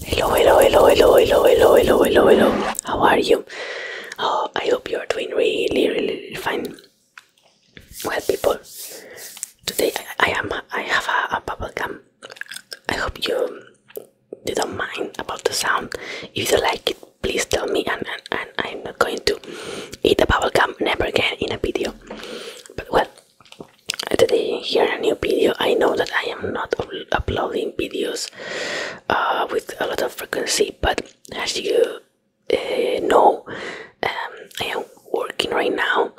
Hello, hello, hello, hello, hello, hello, hello, hello, hello. How are you? Oh, I hope you are doing really, really, really fine. Well, people, today I, am. I have a, bubble gum. I hope you, you don't mind about the sound. If you like it, please tell me, and, and, and I'm not going to eat a bubble gum never again in a video. But well, today here a new video i know that i am not uploading videos uh, with a lot of frequency but as you uh, know um, i am working right now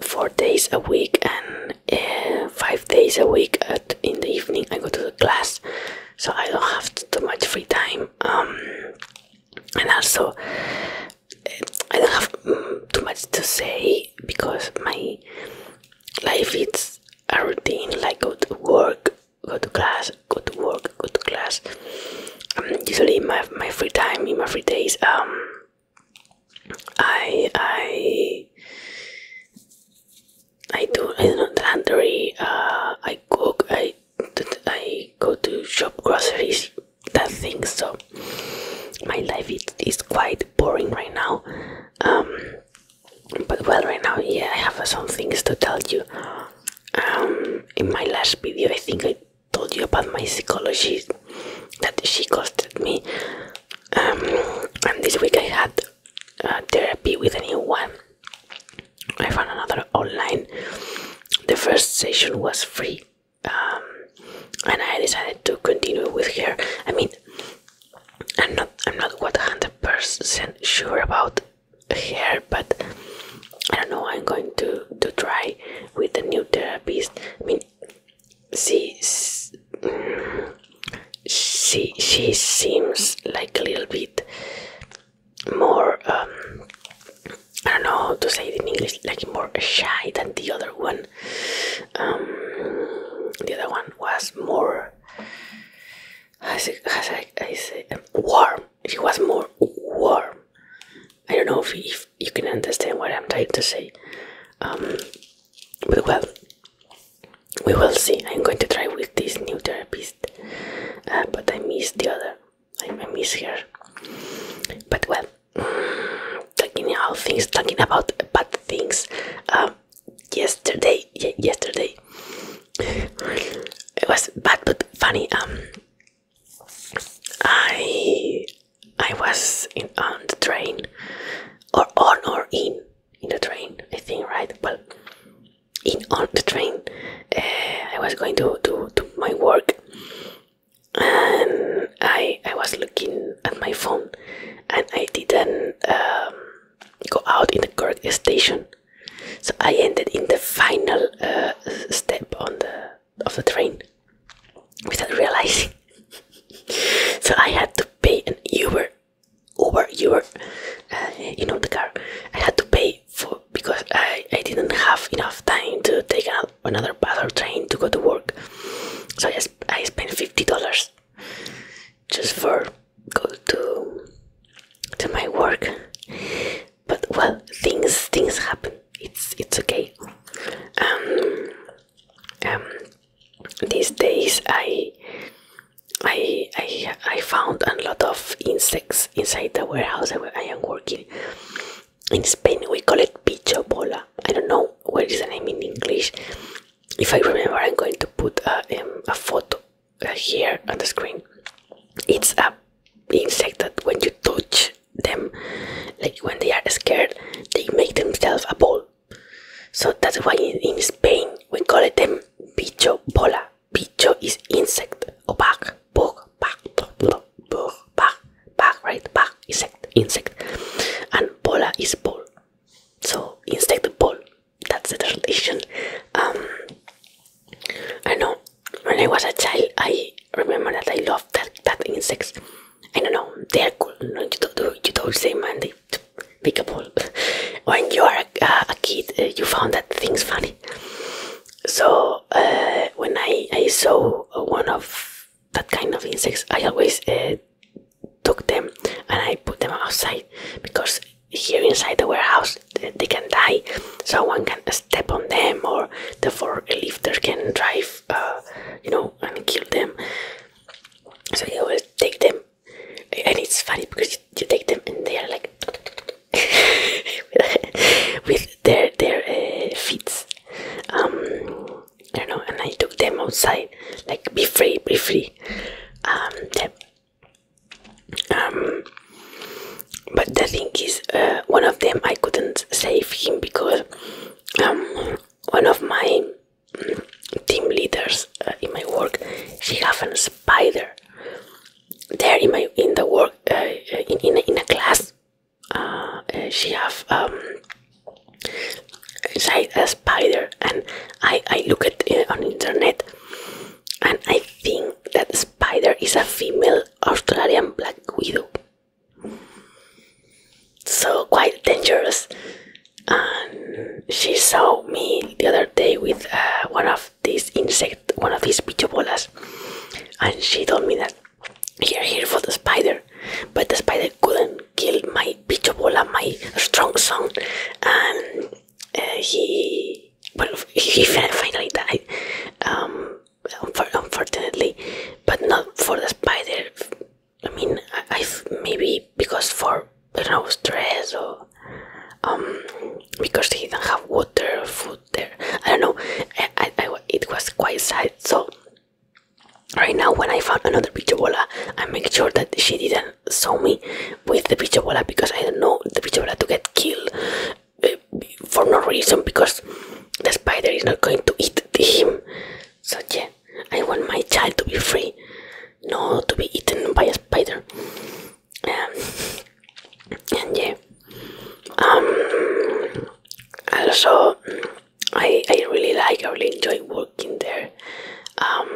four days a week and uh, five days a week at, in the evening i go to the class so i don't have too much free time um, and also eh, I don't have mm, too much to say because my day life it's a routine like go to work go to class go to work go to class um, usually my, my free time in my free days um i i i do i do laundry uh, i cook i i go to shop groceries that thing so my life is, quite boring right now um, but well right now yeah i have some things to tell you um, in my last video i think i told you about my psychologist that she costed me um, and this week i had uh, therapy with a new one i found another online the first session was free um, and I decided to continue with her. I mean, I'm not I'm not what 100% sure about her, but I don't know. I'm going to to try with the new therapist. I mean, she she she seems like a little bit more. Um, I don't know how to say it in English, like more shy than the other one. Um, the other one was more as I, say, warm. It was more warm. I don't know if, you can understand what I'm trying to say, um, but well, we will see. I'm going to try with this new therapist, uh, but I miss the other. I, I miss her. But well, talking about things, talking about bad things. Um, yesterday, yesterday, it was bad but funny. Um, I I was in on the train, or on or in in the train. I think right. Well, in on the train, eh, I was going to do my work, and I I was looking at my phone and I didn't um, go out in the correct station so I ended in the final uh, step on the of the train without realizing so I had to pay an Uber Uber Uber uh, you know the car I had to pay for because I, I didn't have enough time to take out another bus train to go to work. So I, I spent fifty dollars just for go to to my work. But well, things things happen. It's it's okay. Um, um, these days I. I, I I found a lot of insects inside the warehouse where I am working, in Spain we call it picho bola. I don't know what is the name in English. If I remember, I'm going to put a, um, a photo uh, here on the screen. It's a insect that when you touch them, like when they are scared, they make themselves a ball. So that's why in, Spain we call it them picho bola. Picho is insect, o bug, bug, bug, bug, bug, bug, right? Bug, insect, insect. And bola is ball. So insect ball. That's the tradition. Um, I know when I was a child, I remember that I loved that, that insects. I don't know, they're cool. you don't, you don't say man, they make a ball. when you are a, kid, uh, you found that things funny. So uh, when I, I saw one of that kind of insects, I always uh, took them and I put them outside because here inside the warehouse they can die. Someone can step on them, or the forklifters can drive, uh, you know, and kill them. So I always take them, and it's funny because you take them and they are like with their their uh, feet. Um, I don't know, and I took them outside, like be free, be free. Um, um but the thing is, uh, one of them I couldn't save him because um, one of my mm, team leaders uh, in my work she have a spider there in my in the work in, in in a class uh, eh, she have um, inside a spider, and I I look at it eh, on internet, and I think that spider is a female Australian black widow. So quite dangerous, and she saw me the other day with uh, one of this insect, one of these pichobolas, and she told me that he are here for the spider, but the spider couldn't kill my pichobola, my strong son, and uh, he, well, he finally died, um, unfortunately, but not for the spider. I mean, I, maybe because for you know stress or um, because he didn't have water, food there i don't know it was quite sad so right now when i found another picture bola i make sure that she didn't saw me with the picture bola because i don't know the picture bola to get killed uh, for no reason because the spider is not going to eat him so yeah i want my child to be free not to be eaten by a spider um, and yeah um also I, I really like I really enjoy working there um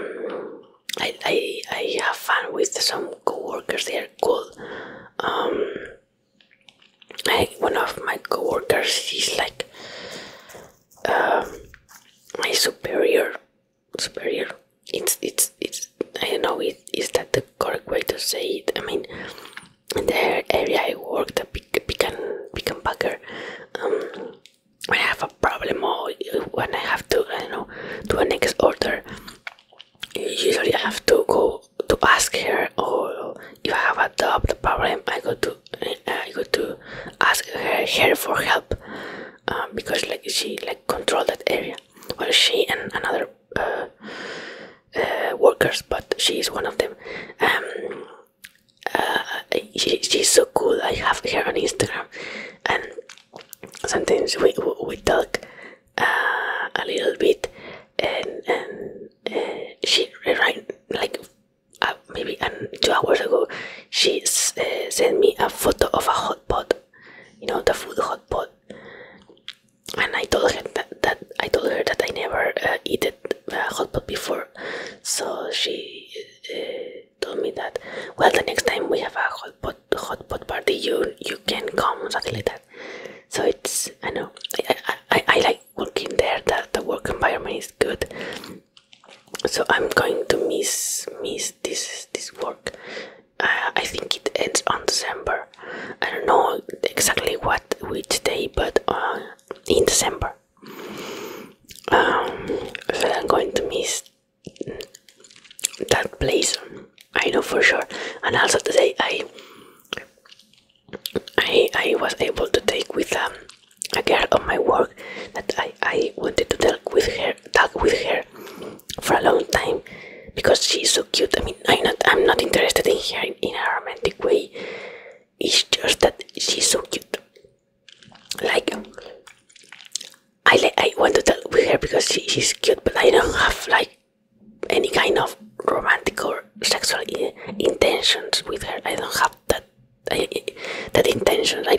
I, I, I have fun with some coworkers. they are cool um one of my coworkers workers is like um, my superior superior it's it's it's I don't know is that the correct way to say it. I mean, in the area I work, the pick pick and pick and packer, um, I have a problem or when I have to I don't know do an next order. Usually I have to go to ask her, or if I have a doubt, problem I go to eh, I go to ask her, her for help um, because like she like control that area well she and another uh, uh, workers but she is one of them um, uh, she, she's so cool I have her on Instagram and sometimes we, we talk a little bit and, and she right like maybe two hours ago she sent me a photo of a hot pot you know the food hot pot and I told her that, I told her that I never uh, eat uh, hot pot before so she uh, told me that well the next time we have a hot pot party you you can come or something like that so it's I know I, I, I like working there that the work environment is good so I'm going to miss miss this this work I think it ends on December. I don't know exactly what which day, but uh, in December. Um, so I'm going to miss that place. I know for sure. And also today I I I was able to take with um, a girl of my work that I I wanted to talk with her talk with her for a long time because she's so cute. I mean, I'm not, I'm not interested in her in a romantic way. It's just that she's so cute. Like, I like, I want to talk with her because she's cute, but I don't have like any kind of romantic or sexual intentions with her. I don't have that that intention. I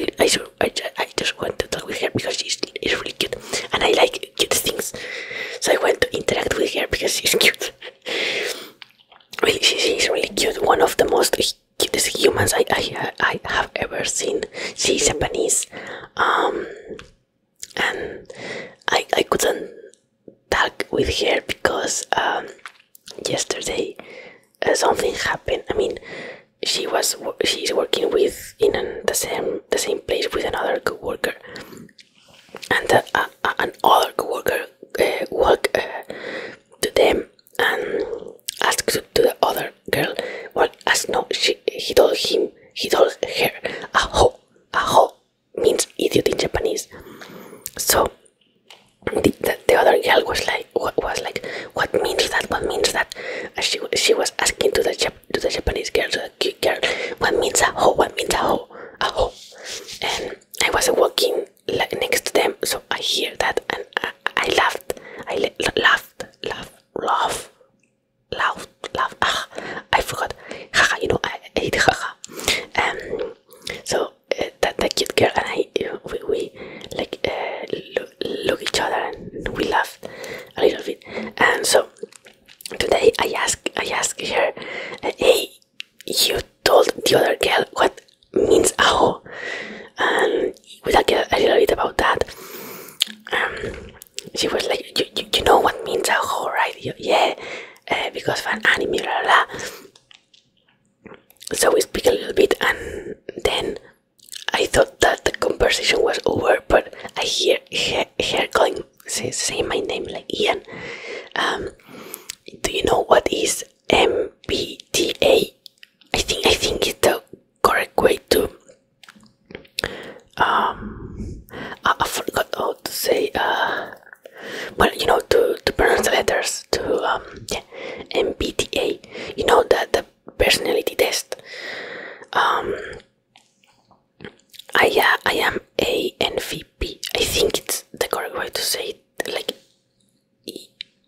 to I, I just want to talk with her because she's, she's really cute and I like cute things so I want to interact with her because she's cute really she, she's really cute one of the most cutest humans I, I, I have ever seen she's Japanese um and I, I couldn't talk with her because um yesterday uh, something happened I mean she was she's working with in the same the same place with another coworker, and uh, uh, uh, another coworker uh, walked to them and asked to, the other girl. Well, as no, she he told him he told her aho aho means idiot in Japanese. So the, the other girl was like like was like, "What means that? What means that?" she she was asking to the to the Japanese girl, the cute girl, "What means a hoe? What means a hoe? A hoe?" And I was walking like next to them, so I hear that, and I, laughed, I laughed, laughed, laughed, laughed, laughed. Ah, I forgot. Haha, you know, I, I haha. Um, so uh, that the cute girl and I, uh, we, we like uh, look each other and we laughed a little bit. And so today I ask, I ask her, "Hey, you told the other girl what means aho?" And we talked a little bit about that. Um, she was like, you, you, know what means aho, right? yeah, eh, because of an anime, blah, So we speak a little bit, and then I thought that the conversation was over, but I hear her, her calling, say, say my name like Ian. Um, do you know what is MBTA? I think I think it's the correct way to. Um, I, forgot how to say. Uh, well, you know, to to pronounce the letters to um, MBTA. You know that the personality test. Um, I uh, I am a NVP. I think it's the correct way to say it. Like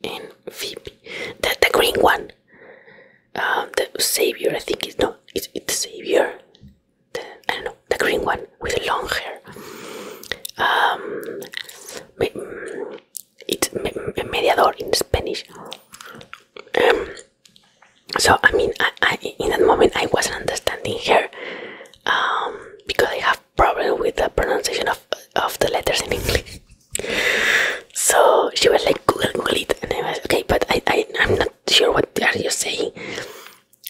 ENVP, the the green one, uh, the savior. I think it's no, it's it's savior. The, I don't know the green one with the long hair. Um, it's mediator in Spanish. Um, so I mean, in that moment I wasn't understanding her um, because I have problem with the pronunciation of of the letters in English. so she was like Google, Google and I was okay, but I, I I'm not sure what are you saying.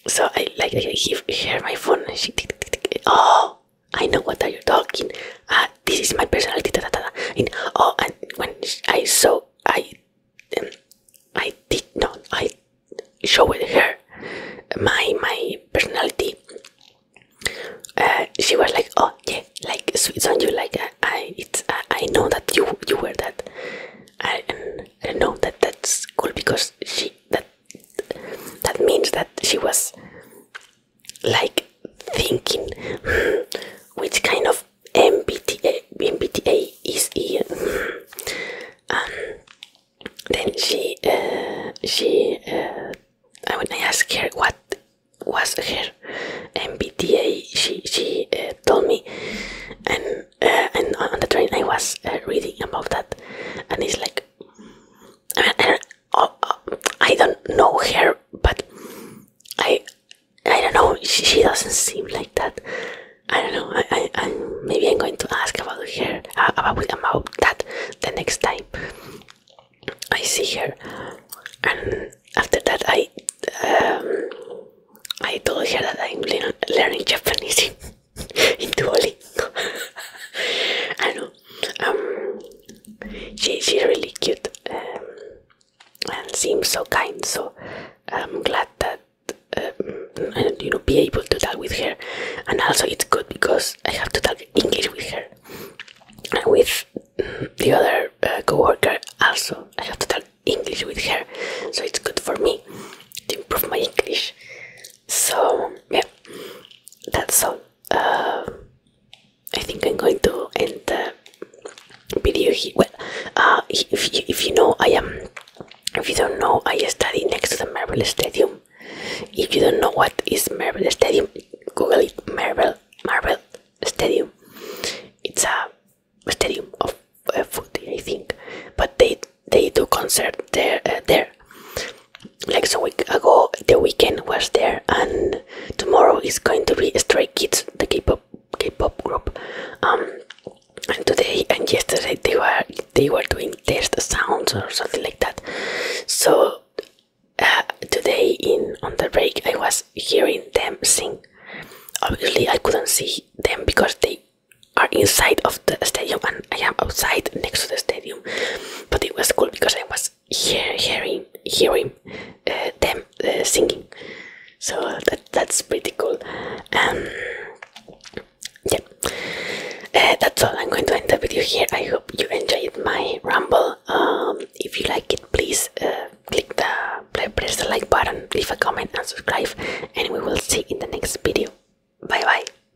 So I like I give my phone, she oh I know what are you talking. Uh, this is my personality. Da, oh, and when I saw, I, um, I did not. I showed her my my personality. Uh, she was like, oh yeah, like sweet on you. Like uh, I, I know that you you were that. I, and I know that that's cool because she that that means that she was like thinking hmm, which kind of MBTA, MBTA is here. Hmm. Um, then she, uh, she, uh, when I asked her what was her MBTA, she she uh, told me, and uh, and on the train I was uh, reading about that, and it's like uh, uh, I don't know her, but I I don't know. She, doesn't seem like that. I don't know. maybe I'm going to ask about her uh, about about that the next time I see her. And after that, I um, I told her that I'm learning Japanese in Duolingo. I know um, she, she's really cute um, and seems so kind so i'm glad that um, you know be able to talk with her and also it's good because i have to talk english with her and with the other uh, coworker. also i have to talk english with her so it's good for me to improve my english so yeah that's all uh, I think I'm going to end the video here. Well, uh, if, you, if you know, I am. If you don't know, I study next to the Marvel Stadium. If you don't know what is Marvel Stadium, Google it. Marvel Marvel Stadium. It's a stadium of uh, footy, I think. But they they do concert there uh, there like so week ago the weekend was there and tomorrow is going to be Stray Kids the K-pop K-pop group um and today and yesterday they were they were doing test sounds or something like that so uh, today in on the break I was hearing them sing obviously I couldn't see them because they are inside of the stadium and I am outside next to the stadium. But it was cool because I was hearing hearing uh, them uh, singing. So that's pretty cool. Um, yeah, uh, that's all. I'm going to end the video here. I hope you enjoyed my ramble. Um, if you like it, please click the press the like button, leave a comment, and subscribe. And we will see in the next video. Bye bye.